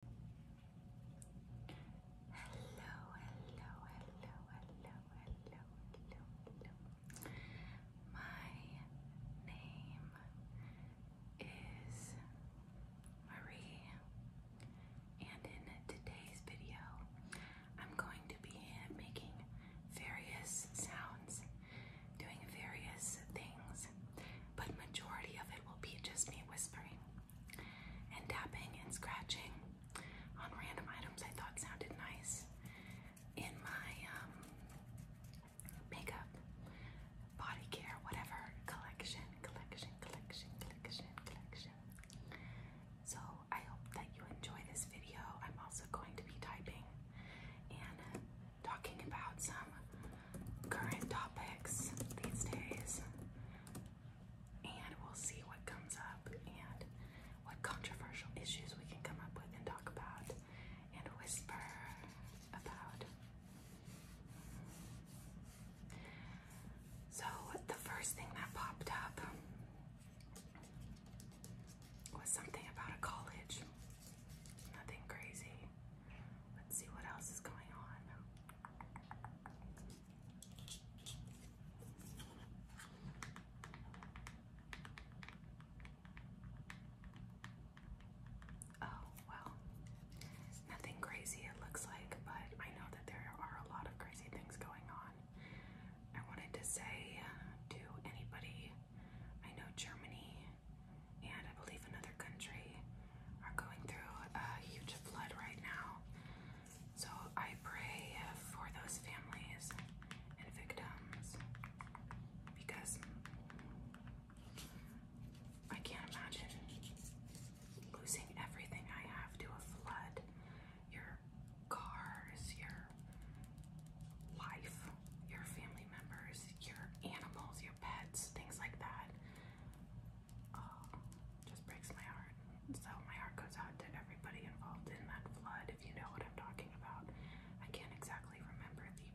Hello, hello, hello, hello, hello, hello, hello. My name is Marie, and in today's video, I'm going to be making various sounds, doing various things, but majority of it will be just me whispering and tapping and scratching on random items I thought sounded nice in my um, makeup, body care, whatever collection, collection, collection, collection, collection. So I hope that you enjoy this video. I'm also going to be typing and talking about some current topics these days, and we'll see what comes up and what controversial issues we can come up with and talk about and whisper about. So, the first thing that popped up was something about a college. Nothing crazy. Let's see what else is going on. Oh, well, nothing crazy it looks like, but I know that there are a lot of crazy things going on. I wanted to say uh, to anybody, I know Germany and I believe another country are going through a huge flood right now. So I pray for those families and victims because I can't imagine losing everything I have to a flood. Your cars, your life, your family members, your animals, your pets, things like that oh, just breaks my heart. So my heart goes out to everybody involved in that flood, if you know what I'm talking about. I can't exactly remember the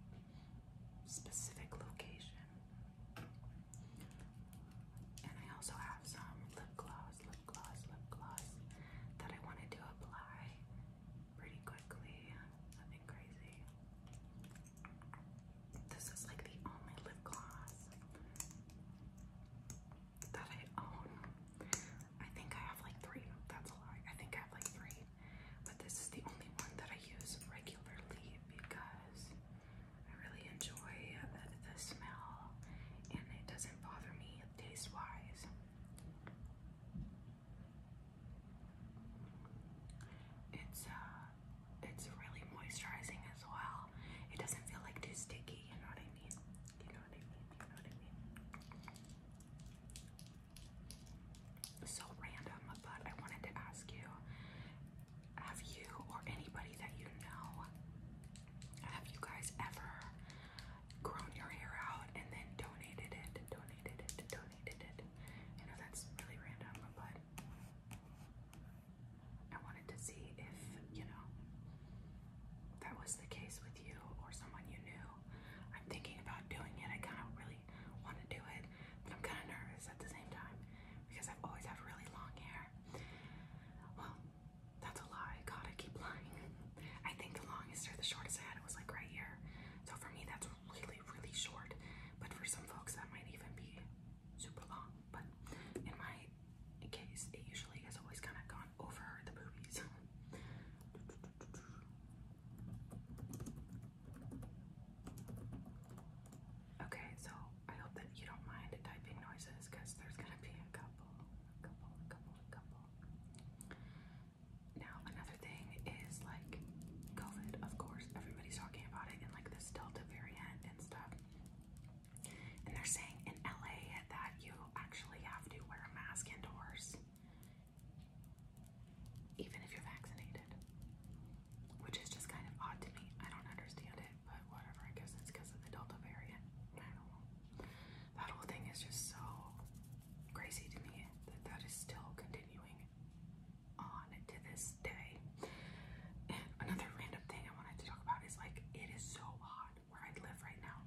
specific location. And I also have some lip gloss, lip gloss, lip gloss that I wanted to apply pretty quickly. Nothing crazy. This is like the only lip gloss that I own. I think I have like three. That's a lie. I think I have like three. But this is the only one that I use regularly because I really enjoy the, smell and it doesn't bother me taste wise. It's uh, it's really moisturizing as well. It doesn't feel like too sticky, you know what I mean? You know what I mean? You know what I mean? So random, but I wanted to ask you have you or anybody that you know, have you guys ever grown your hair out and then donated it? Donated it, donated it. I know that's really random, but I wanted to see if, you know, that was the case with you or someone you knew. I'm thinking about doing it. I kind of really want to do it, but I'm kind of nervous at the same time because i always have really long hair. Well, that's a lie. God, I keep lying. I think the longest or the shortest I had was like right here. So for me, that's really, really short. But for some folks, that might even be super long but in my case, it usually has always kind of gone over the boobies. Okay, so I hope that you don't mind typing noises because there's gonna be a couple, a couple, a couple, a couple. Now, another thing is like COVID, of course, everybody's talking about it and like this Delta variant and stuff. And they're saying in LA that you actually have to wear a mask indoors, even if you're vaccinated, which is just kind of odd to me. I don't understand it, but whatever. I guess it's because of the Delta variant. That whole thing is just so crazy to me that that is still continuing on to this day. And another random thing I wanted to talk about is like it is so hot where I live right now.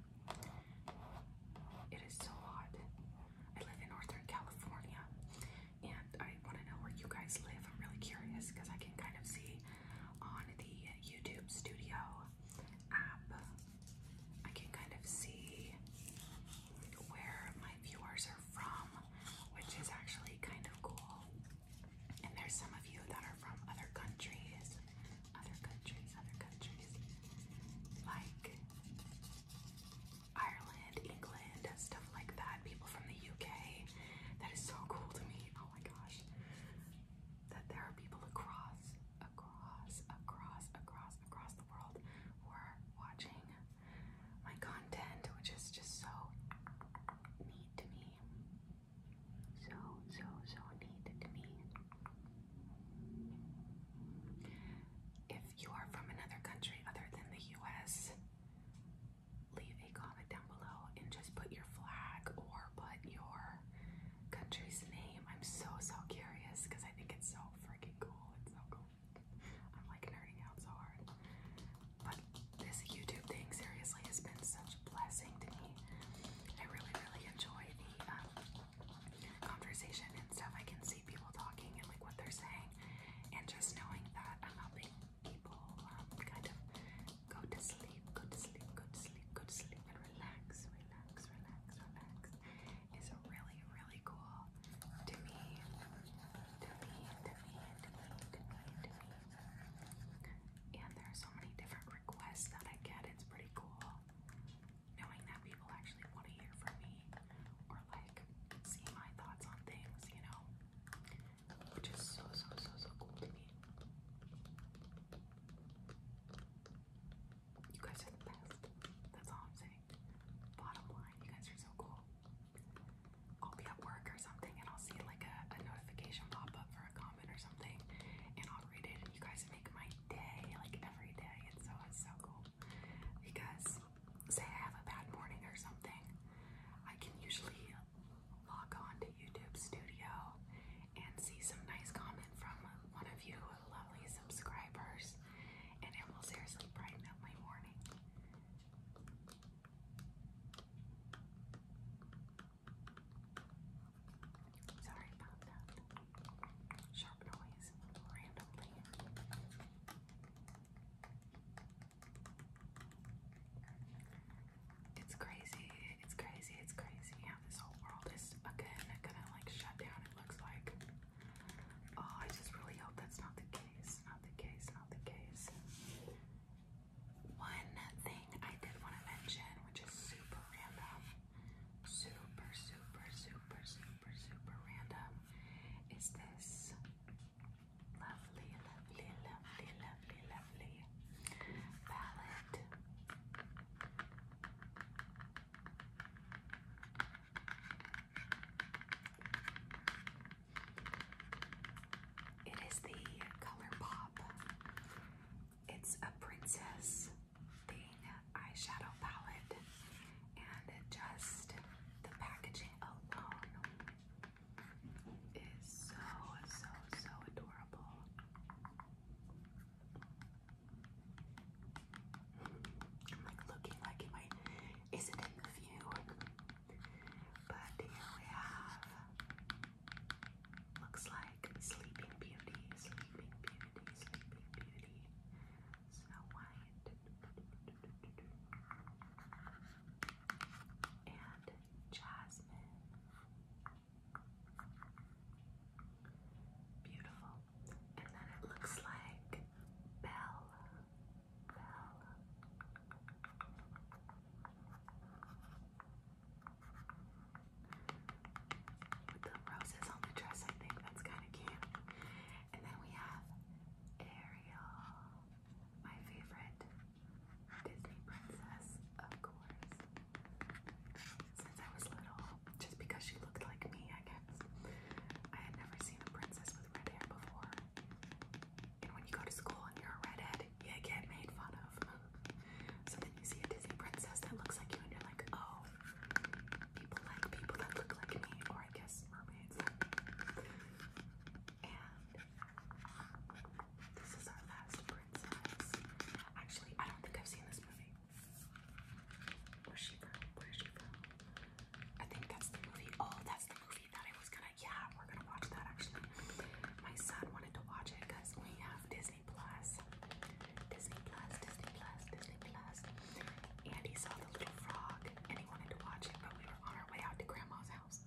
It is so hot. I live in Northern California and I want to know where you guys live. I'm really curious because I can kind of see on the YouTube Studio app, I can kind of see where my viewers are from, which is actually kind of cool. And there's some of you that are from other countries, other countries, other countries, like Ireland, England, stuff like that. People from the UK. That is so cool to me. Oh my gosh. That there are people across, across, across, across, across the world who are watching my content, which is just so neat to me. So, so, so neat to me. If you are from another country other than the US, leave a comment down below and just put your flag or put your country's name. I'm so, so curious because I think it's so freaking cool. It's so cool. I'm like nerding out so hard. But this YouTube thing seriously has been such a blessing to me. I really, really enjoy the um, conversation and stuff. I can see people talking and like what they're saying, and just knowing that I'm helping people um, kind of go to sleep, go to sleep, go to sleep, go to sleep, and relax, relax, relax, relax is really, really cool to me. And there are so many different requests that I get. It's pretty cool knowing that people actually want to hear from me or like see my thoughts on things, you know? Which is so, so, so, so cool to me. You guys are the best. That's all I'm saying. Bottom line, you guys are so cool. I'll be at work or something and I'll see like a, notification pop up for a comment or something and I'll read it and you guys make my day like every day and so it's so cool because say I have a bad morning or something I can usually log on to YouTube Studio and see some nice comment from one of you lovely subscribers and it will seriously brighten up my morning. Sorry about that sharp noise randomly. It's crazy, it's crazy, it's crazy how this whole world is again gonna like shut down, it looks like. Oh, I just really hope that's not the case, not the case, not the case. One thing I did want to mention, which is super random, super, super, super, super, super random, is this lovely, lovely, lovely, lovely, lovely palette. It is the ColourPop. It's a princess thing eyeshadow palette, and just the packaging alone is so, so, so adorable. I'm like looking like, am I, is it in the view? But here we have, looks like Sleeping Beauty, Sleeping Beauty, Sleeping Beauty, Snow White, and Jasmine. Beautiful. And then it looks like Belle the roses on the dress, I think that's kind of cute. And then we have Ariel, my favorite Disney princess, of course. Since I was little, just because she looked like me, I guess. I had never seen a princess with red hair before. And when you go to school and you're a redhead, you get made fun of. So then you see a Disney princess that looks like you, and you're like, oh, people like people that look like me, or I guess mermaids. And this is our last princess. Actually, I don't think I've seen this movie. Where's she from? Where's she from? I think that's the movie. Oh, that's the movie movie that I was gonna, yeah, we're gonna watch that actually. My son wanted to watch it because we have Disney Plus, Disney Plus, Disney Plus, Disney Plus, and he saw the little frog and he wanted to watch it, but we were on our way out to Grandma's house.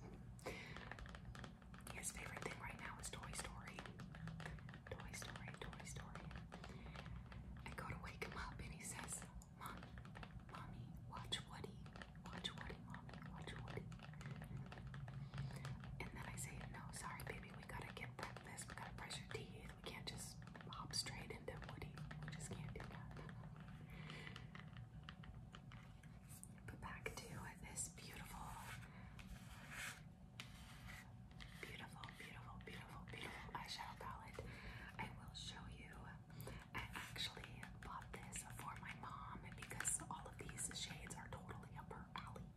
His favorite thing right now is Toy Story. Toy Story, Toy Story. I go to wake him up and he says, Mom, Mommy, watch Woody. Watch Woody, Mom. Watch Woody. And then I say, no, sorry, baby. We gotta get breakfast. We gotta brush your teeth. We can't just hop straight into Woody. just can't do that. But back to this beautiful, beautiful, beautiful, beautiful eyeshadow palette. I will show you I actually bought this for my mom because all of these shades are totally up her alley.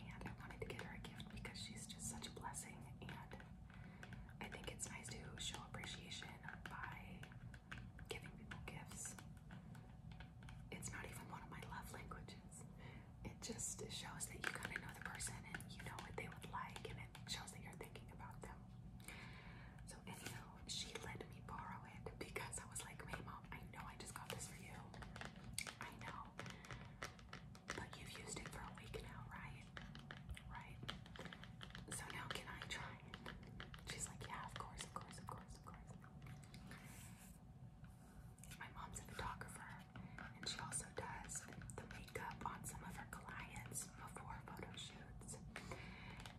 And I wanted to get her a gift because she's just such a blessing. And I think it's nice to show appreciation by giving people gifts. It's not even one of my love languages. It just shows that you kind of know the person and you know what they would like, and it shows that you're thinking about them. So anyhow, she let me borrow it because I was like, "Hey, mom, I know I just got this for you. I know, but you've used it for a week now, right? Right? So now can I try She's like, "Yeah, of course, of course, of course, of course." My mom's a photographer, and she also does the makeup on some of her clients before photo shoots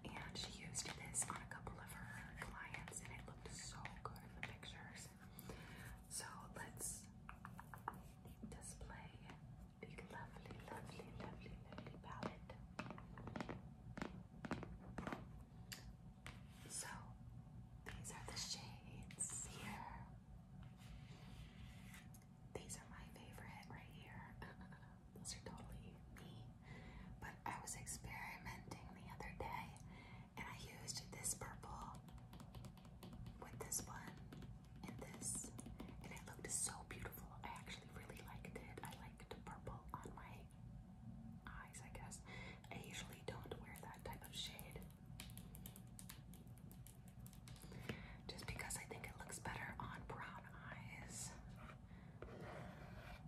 and she used this on a couple of her clients, and it looked so good in the pictures. So let's display the lovely, lovely, lovely, lovely palette. So these are the shades here. These are my favorite right here. those are totally me. But I was experimenting the other day and I used this purple with this one and this, and it looked so beautiful. I actually really liked it. I liked purple on my eyes, I guess. I usually don't wear that type of shade. Just because I think it looks better on brown eyes.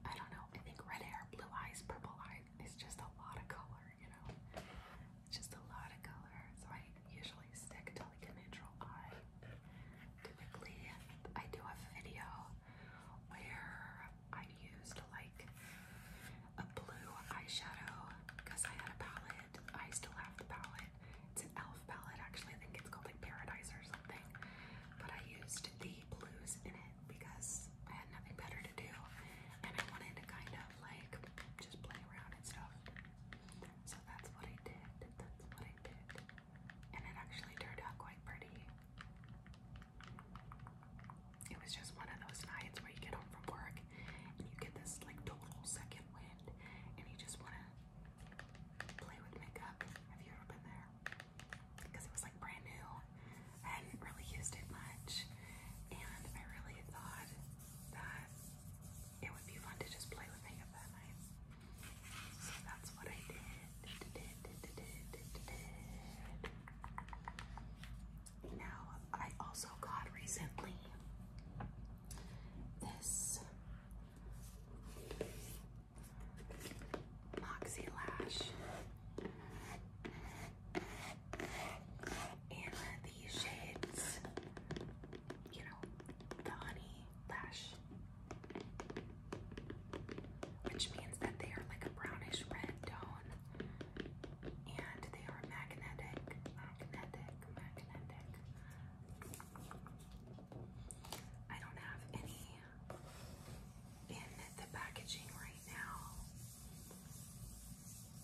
I don't know. I think red hair, blue eyes, purple eyes. It's just a lot of color, you know. It's just a lot of color. So I usually stick to like a neutral eye. Typically, I do a video where I used like a blue eyeshadow because I had a palette. I still have the palette. It's an elf palette actually. I think it's called like Paradise or something. But I used the blues in it because I had nothing better to do and I wanted to kind of like just play around and stuff. So that's what I did. That's what I did. And it actually turned out quite pretty. It was just one of those nights where you get home from work and you get this like total second wind and you just want to play with makeup. Have you ever been there? because it was like brand new. I hadn't really used it much, and I really thought that it would be fun to just play with makeup that night. So that's what I did. Now, I also got recently this Moxie Lash. And these shades, you know, the honey lash, which means that they are like a brownish red tone and they are magnetic, magnetic, magnetic. I don't have any in the packaging right now.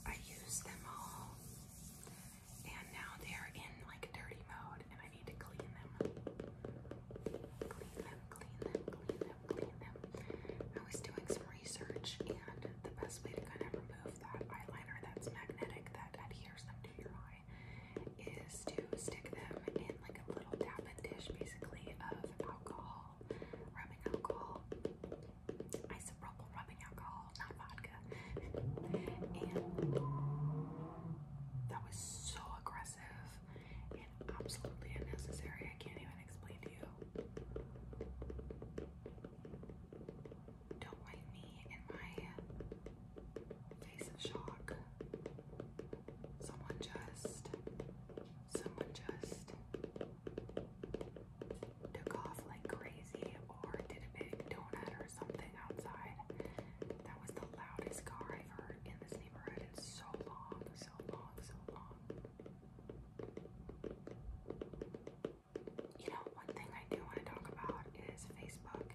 I used them all, and now they're in like dirty mode, and I need to clean them. Clean them, clean them, clean them, clean them. I was doing some research, and the best way to kind of remove that eyeliner that's magnetic that adheres them to your eye is to stick them in like a little tappet dish basically of alcohol, rubbing alcohol, isopropyl rubbing alcohol, not vodka. and that was so aggressive and absolutely unnecessary. I can't even explain to you. Don't mind me in my face of shock. Someone just, someone just took off like crazy or did a big donut or something outside. That was the loudest car I've heard in this neighborhood in so long, so long, so long. You know, one thing I do want to talk about is Facebook.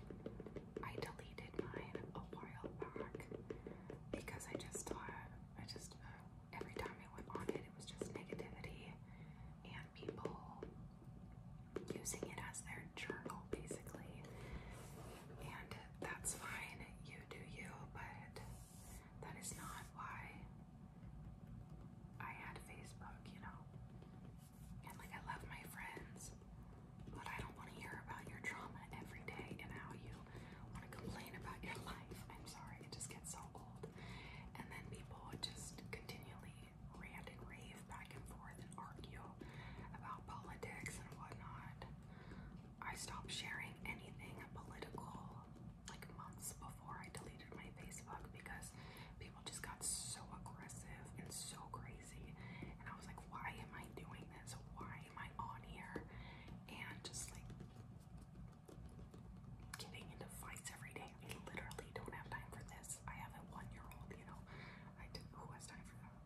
I delete actually did mine a while back because I just thought, I just, uh, every time I went on it, it was just negativity and people using it as their journal, basically. And that's fine, you do you, but that is not why I had Facebook, you know? And like, I love my friends, but I don't want to hear about your trauma every day and how you want to complain about your life. I'm sorry, it just gets so old. And then people would just continually rant and rave back and forth and argue about politics and whatnot. I stopped sharing anything political like months before I deleted my Facebook because people just got so aggressive and so crazy. And I was like, why am I doing doing Why am I on here? And just like getting into fights every day. I literally don't have time for this. I have a one year old, you know. I who has time for that?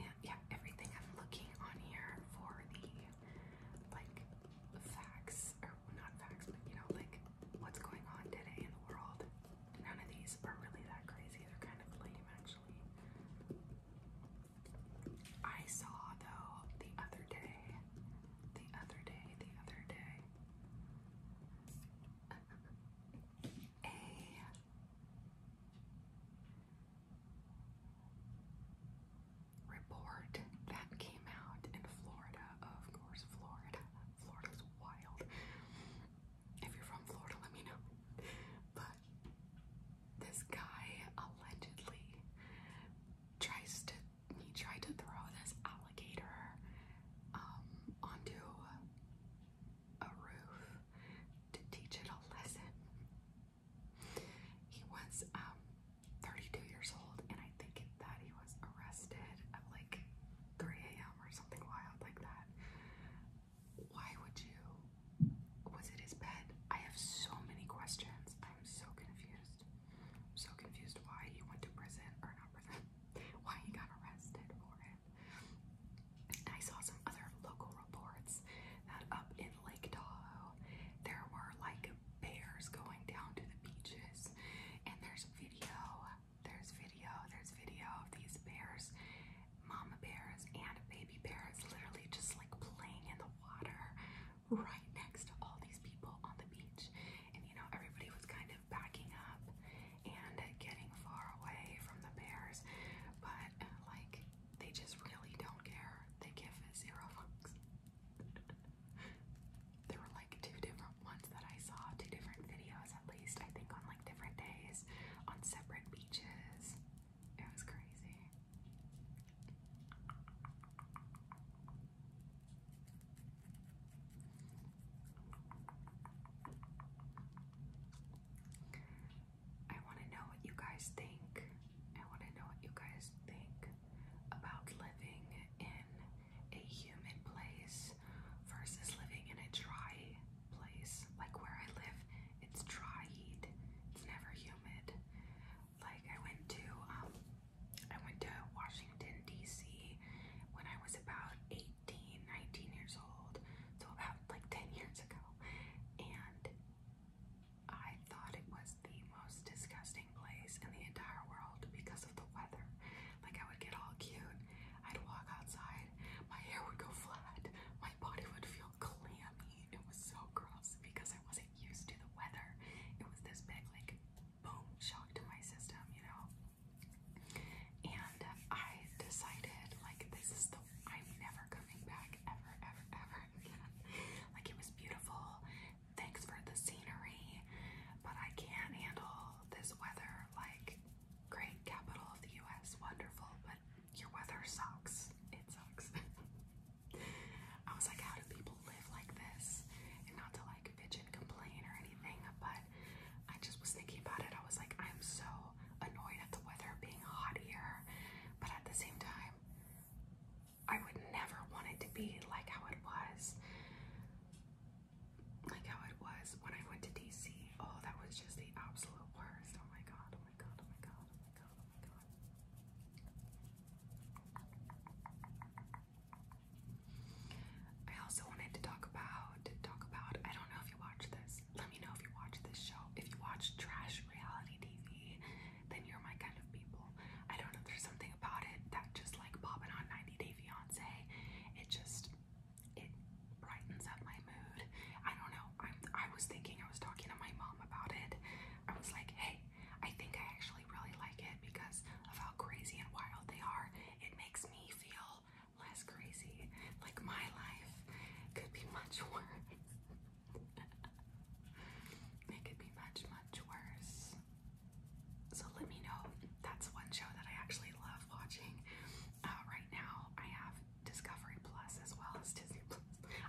And yeah, everything I'm looking on here for the like facts, or not facts, but you know, like what's going on today in the world. None of these are really that crazy. They're kind of lame, actually. I saw though the other day, the other day, the other day, a report that came out in Florida, of course, Florida. Florida's wild. If you're from Florida, let me know. But this guy allegedly tries to he tried to throw this alligator um onto a roof to teach it a lesson. He was um 32 years old and I think that he was arrested at like 3 a.m. or something wild like that why would you? Was it his pet? I have so many questions. I'm so confused. I'm so confused why he went to prison or not prison, why he got arrested for it. I saw some other local reports that up in Lake Tahoe there were like bears going down to the beaches, and there's video, there's video, there's video of these bears mama bears and baby bears literally just like playing in the water right next to all these people on the beach. And you know, everybody was kind of backing up and getting far away from the bears, but like they just really don't care. They give zero fucks. there were like two different ones that I saw, two different videos at least, I think on like different days on separate beaches. It was crazy. I want to know what you guys think. I want to know what you guys think about living in a humid place versus living in a dry place. Like where I live, it's dry heat. It's never humid. Like I went to um I went to Washington DC when I was about 18, 19 years old. So about like 10 years ago. And I thought it was the most disgusting place in the entire world because of the weather. Like I would get all cute. I'd walk outside. My hair would go flat. My body would feel clammy. It was so gross because I wasn't used to the weather. It was this big, like, boom shock to my system, you know? And I decided, like, this is the, I'm never coming back ever, ever, ever again. Like, it was beautiful. Thanks for the scenery, but I can't handle this weather. Like, great capital of the US, wonderful, but your weather sucks. It sucks. I was like, how do people live like this? And not to like bitch and complain or anything, but I just was thinking about it. I was like, I'm so annoyed at the weather being hot here, but at the same time, I would never want it to be like how it was. Like how it was when I went to DC. Oh, that was just the absolute worst. Oh my god oh my god, oh my god, oh my god, oh my god. I also wanted to talk about talk about I don't know if you watch this. Let me know if you watch this show. If you watch trash reality TV, then you're my kind of people. I don't know there's something about it that just like popping on 90 Day Fiance. It just it brightens up my mood. I don't know. I, was thinking, I was talking to my mom about it. I was like, hey, I think I actually really like it because of how crazy and wild they are. It makes me feel less crazy. Like my life could be much worse. it could be much, much worse. So let me know. That's one show that I actually love watching. Uh, right now, I have Discovery Plus as well as Disney Plus.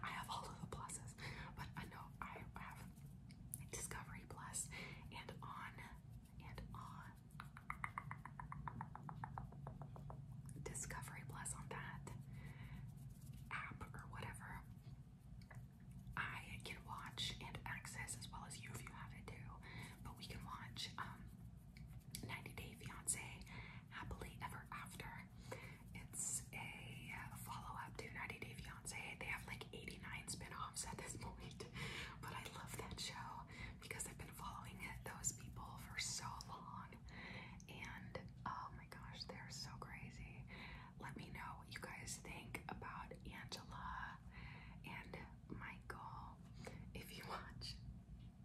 I have all of the pluses, but I know I have Discovery Plus and on and on Discovery Plus on that app or whatever. I can watch and access as well as you if you have it too, but we can watch um 90 Day Fiance Happily Ever After. It's a uh, follow-up to 90 Day Fiance. They have like 89 spin-offs at this point, but I love that show because I've been following those people for so long. And oh my gosh, they're so crazy. Let me know what you guys think about Angela and Michael if you watch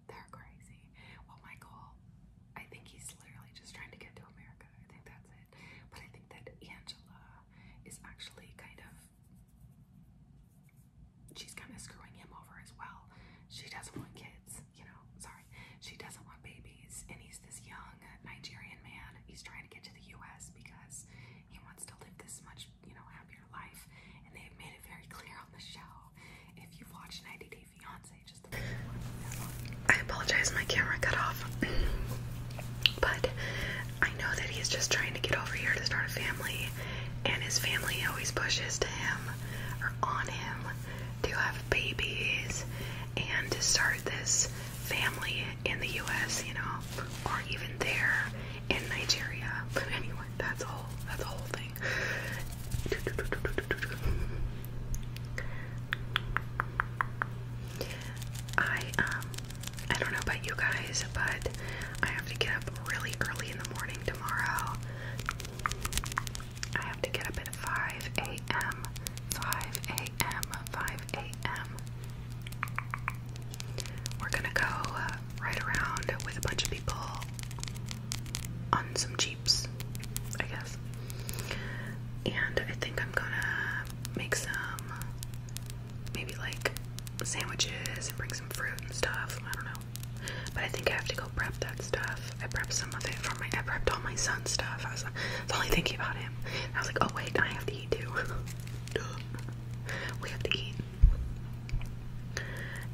they're crazy. Well, Michael, I think he's literally just trying to get to America. I think that's it. But I think that Angela is actually kind of. She's kind of screwing him over as well. She doesn't want kids, you know. Sorry. She doesn't want babies. And he's this young Nigerian man. He's trying to get to the US because he wants to live this much, you know, happier life. And they've made it very clear on the show. If you've watched 90 Day I apologize, my camera cut off. but I know that he is just trying to get over here to start a family, and his family always pushes to him or on him to have babies and to start this family in the US, you know, or even there in Nigeria. But anyway, that's all that's the whole thing. I um I don't know about you guys, but I have to get up really early in the morning tomorrow. I have to get up at 5 a.m. 5 a.m. 5 a.m. We're gonna go uh, around with a bunch of people on some jeeps, I guess. And I think I'm gonna make some maybe like sandwiches and bring some fruit and stuff. I don't know. But I think I have to go prep that stuff. I prepped some of it for my I prepped all my son's stuff. I was, I was only thinking about him. I was like, oh wait, I have to eat too. we have to eat.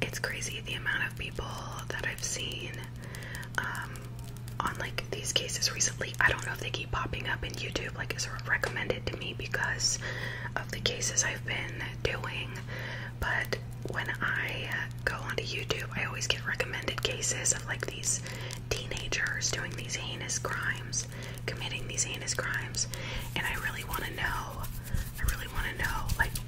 It's crazy the amount of people that I've seen um, on like these cases recently. I don't know if they keep popping up in YouTube, like it's recommended to me because of the cases I've been doing. But when I go onto YouTube, I always get recommended cases of like these teenagers doing these heinous crimes, committing these heinous crimes, and I really want to know. I really want to know like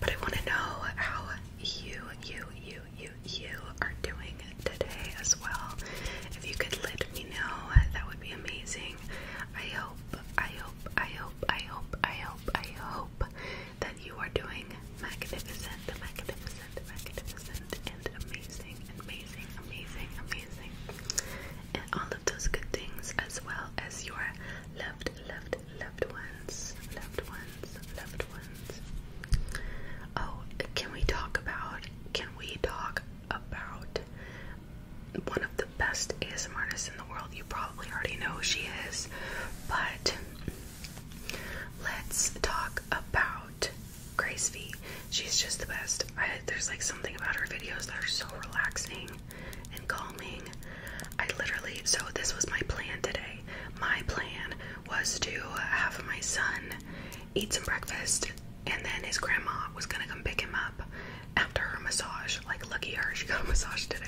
But I want to know how you, you, you, you, you are doing today as well. If you could let me know, that would be amazing. I hope, I hope, I hope, I hope, I hope, I hope that you are doing magnificent, magnificent, magnificent, and amazing, amazing, amazing, amazing. And all of those good things, as well as your loved, loved, good. Loved ones, loved ones, loved ones. Oh, can we talk about? Can we talk about one of the best ASMR artists in the world? You probably already know who she is, but let's talk about Grace V. She's just the best. there's like something about her videos that are so relaxing and calming. I literally, so this was my plan today. My plan was to have my son eat some breakfast and then his grandma was gonna come pick him up after her massage. Like, lucky her, she got a massage today.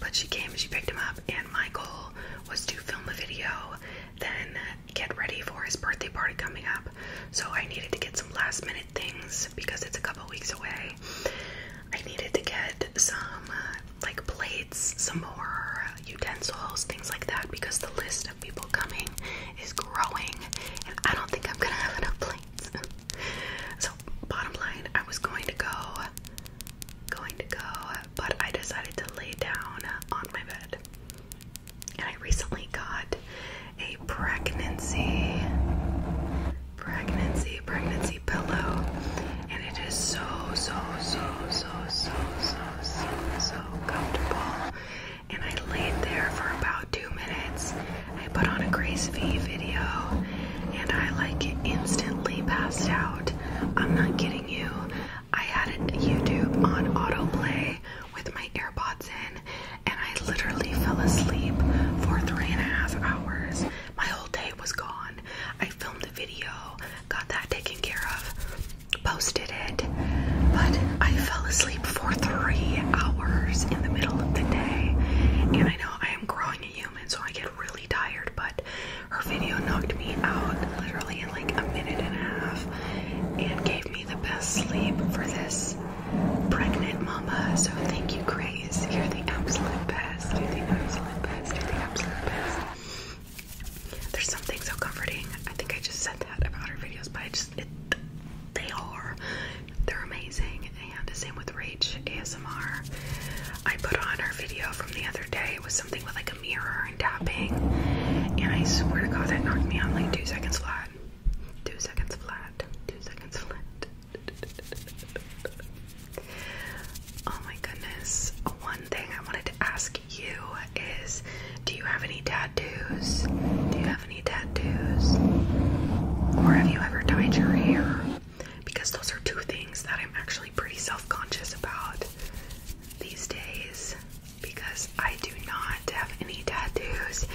But she came and she picked him up, and my goal was to film a video, then get ready for his birthday party coming up. So I needed to get some last minute things because it's a couple weeks away. I needed to get some like plates, some more utensils, things like that, because the list of people coming is growing, and I don't think I'm gonna have enough plates. so, bottom line, I was going to go, going to go, but I decided to lay down on my bed. And I recently got a pregnancy pregnancy pregnancy pillow and it is so so so so so so so so comfortable and I laid there for about two minutes I put on a Grace V video and I like instantly passed out I'm not kidding you I had YouTube on autoplay with my AirPods in and I literally fell asleep for three and a half hours my whole day was gone. I filmed the video, got that taken care of, posted it, but I fell asleep for three hours in the middle of the day. And I know I am growing a human, so I get really tired, but her video knocked me out literally in like a minute and a half and gave me the best sleep for this pregnant mama. So thank you, Grace. You're the absolute best. There's something so comforting. I think I just said that about our videos, but I just they are. They're amazing. And the same with Rach ASMR. I put on our video from the other day. It was something with like a mirror and tapping. And I swear to God, that knocked me out like two seconds flat. Two seconds flat. Two seconds flat. Oh my goodness. One thing I wanted to ask you is do you have any tattoos? Do you have any tattoos? Or have you ever dyed your hair? Because those are two things that I'm actually pretty self conscious about these days because I do not have any tattoos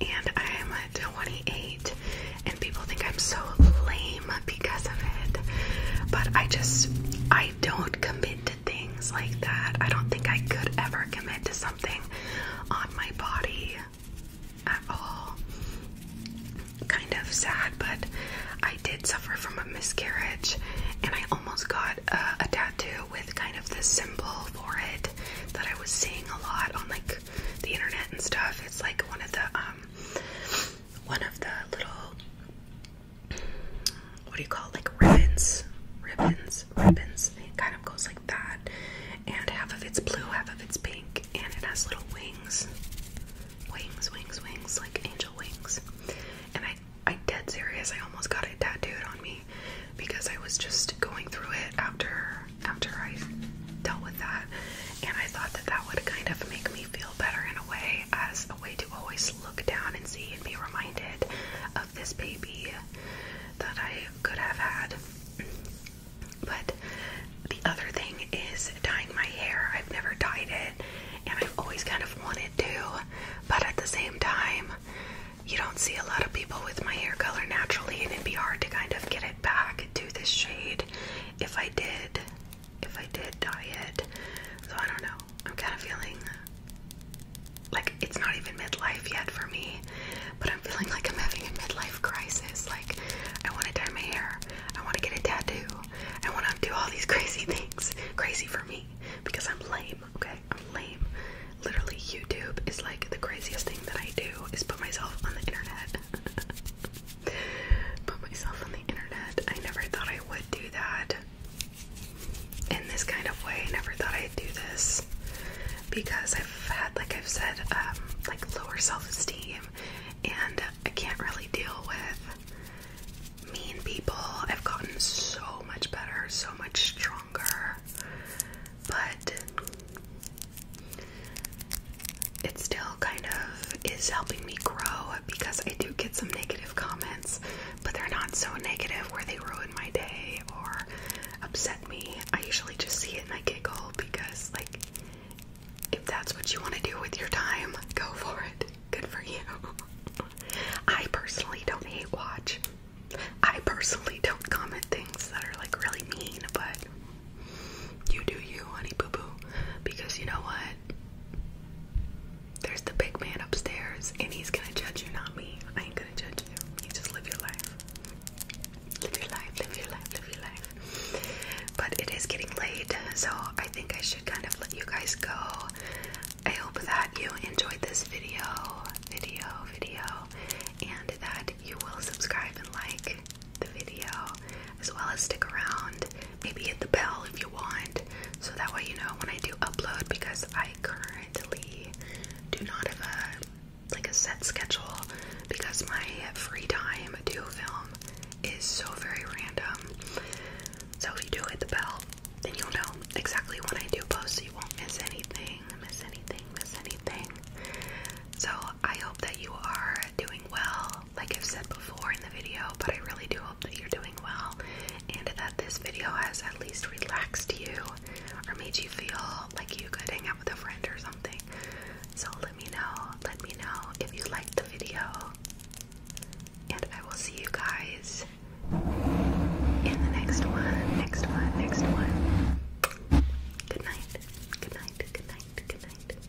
and I'm 28 people think I'm so lame because of it. But I just I don't commit to things like that. I don't think I could ever commit to something on my body at all. Kind of sad, but I did suffer from a miscarriage and I almost got a, tattoo with kind of this symbol for it that I was seeing a lot on like the internet and stuff. It's like one of the um one of the little what do you call it? like ribbons, ribbons, ribbons. It kind of goes like that, and half of it's blue, half of it's pink, and it has little wings, wings, wings, wings, like angel wings. And I, I dead serious. I almost got it tattooed on me because I was just going through it after after I dealt with that, and I thought that that would kind of make me really feel better in a way as a way to always look down and see and be reminded of this baby that I could have had. But the other thing is dyeing my hair. I've never dyed it and I've always kind of wanted to, but at the same time, you don't see a lot of people with my hair color naturally, and it'd be hard to kind of get it back to this shade if I did if I did diet. So I don't know. I'm kind of feeling like it's not even midlife yet for me, but I'm feeling like I'm having a midlife crisis. Like I want to dye my hair, I want to get a tattoo, I want to do all these crazy things. Crazy for me because I'm lame. Okay, I'm lame. Literally, YouTube is like the craziest thing that I do is put myself on the internet. put myself on the internet. I never thought I would do that in this kind of way. never thought I'd do this because I've had, like I've said, um, like lower self-esteem, and I can't really deal with mean people. I've gotten so much better, so much stronger, but. It still kind of is helping me grow because I do get some negative comments, but they're not so negative where they ruin my day or upset me. I usually just see it and I giggle because, like, if that's what you want to do with your time, go for it. Good for you. I personally don't hate watch. I personally don't comment things that are like really mean, but you do you, honey boo boo. Because you know what? There's the big man upstairs, and he's gonna judge you, not me. I ain't gonna judge you. You just live your life. Live your life, live your life, live your life. But it is getting late, so I think I should kind of let you guys go. I hope that you enjoyed this video, video, video, and that you will subscribe and like the video as well as stick around. Maybe hit the bell if you want so that way you know when I do upload because I currently do not have a like a set schedule because my free time to film is so very random. So if you do hit the bell, then you'll know exactly when I do post so you won't miss anything, miss anything, miss anything. So I hope that you are doing well like I've said before in the video, but I really do hope that you're doing well and that this video has at least relaxed you or made you feel like you could hang out with a friend or something. So let me know, let me know if you liked the video, and I will see you guys in the next one, next one, next one. Good night, good night, good night, good night.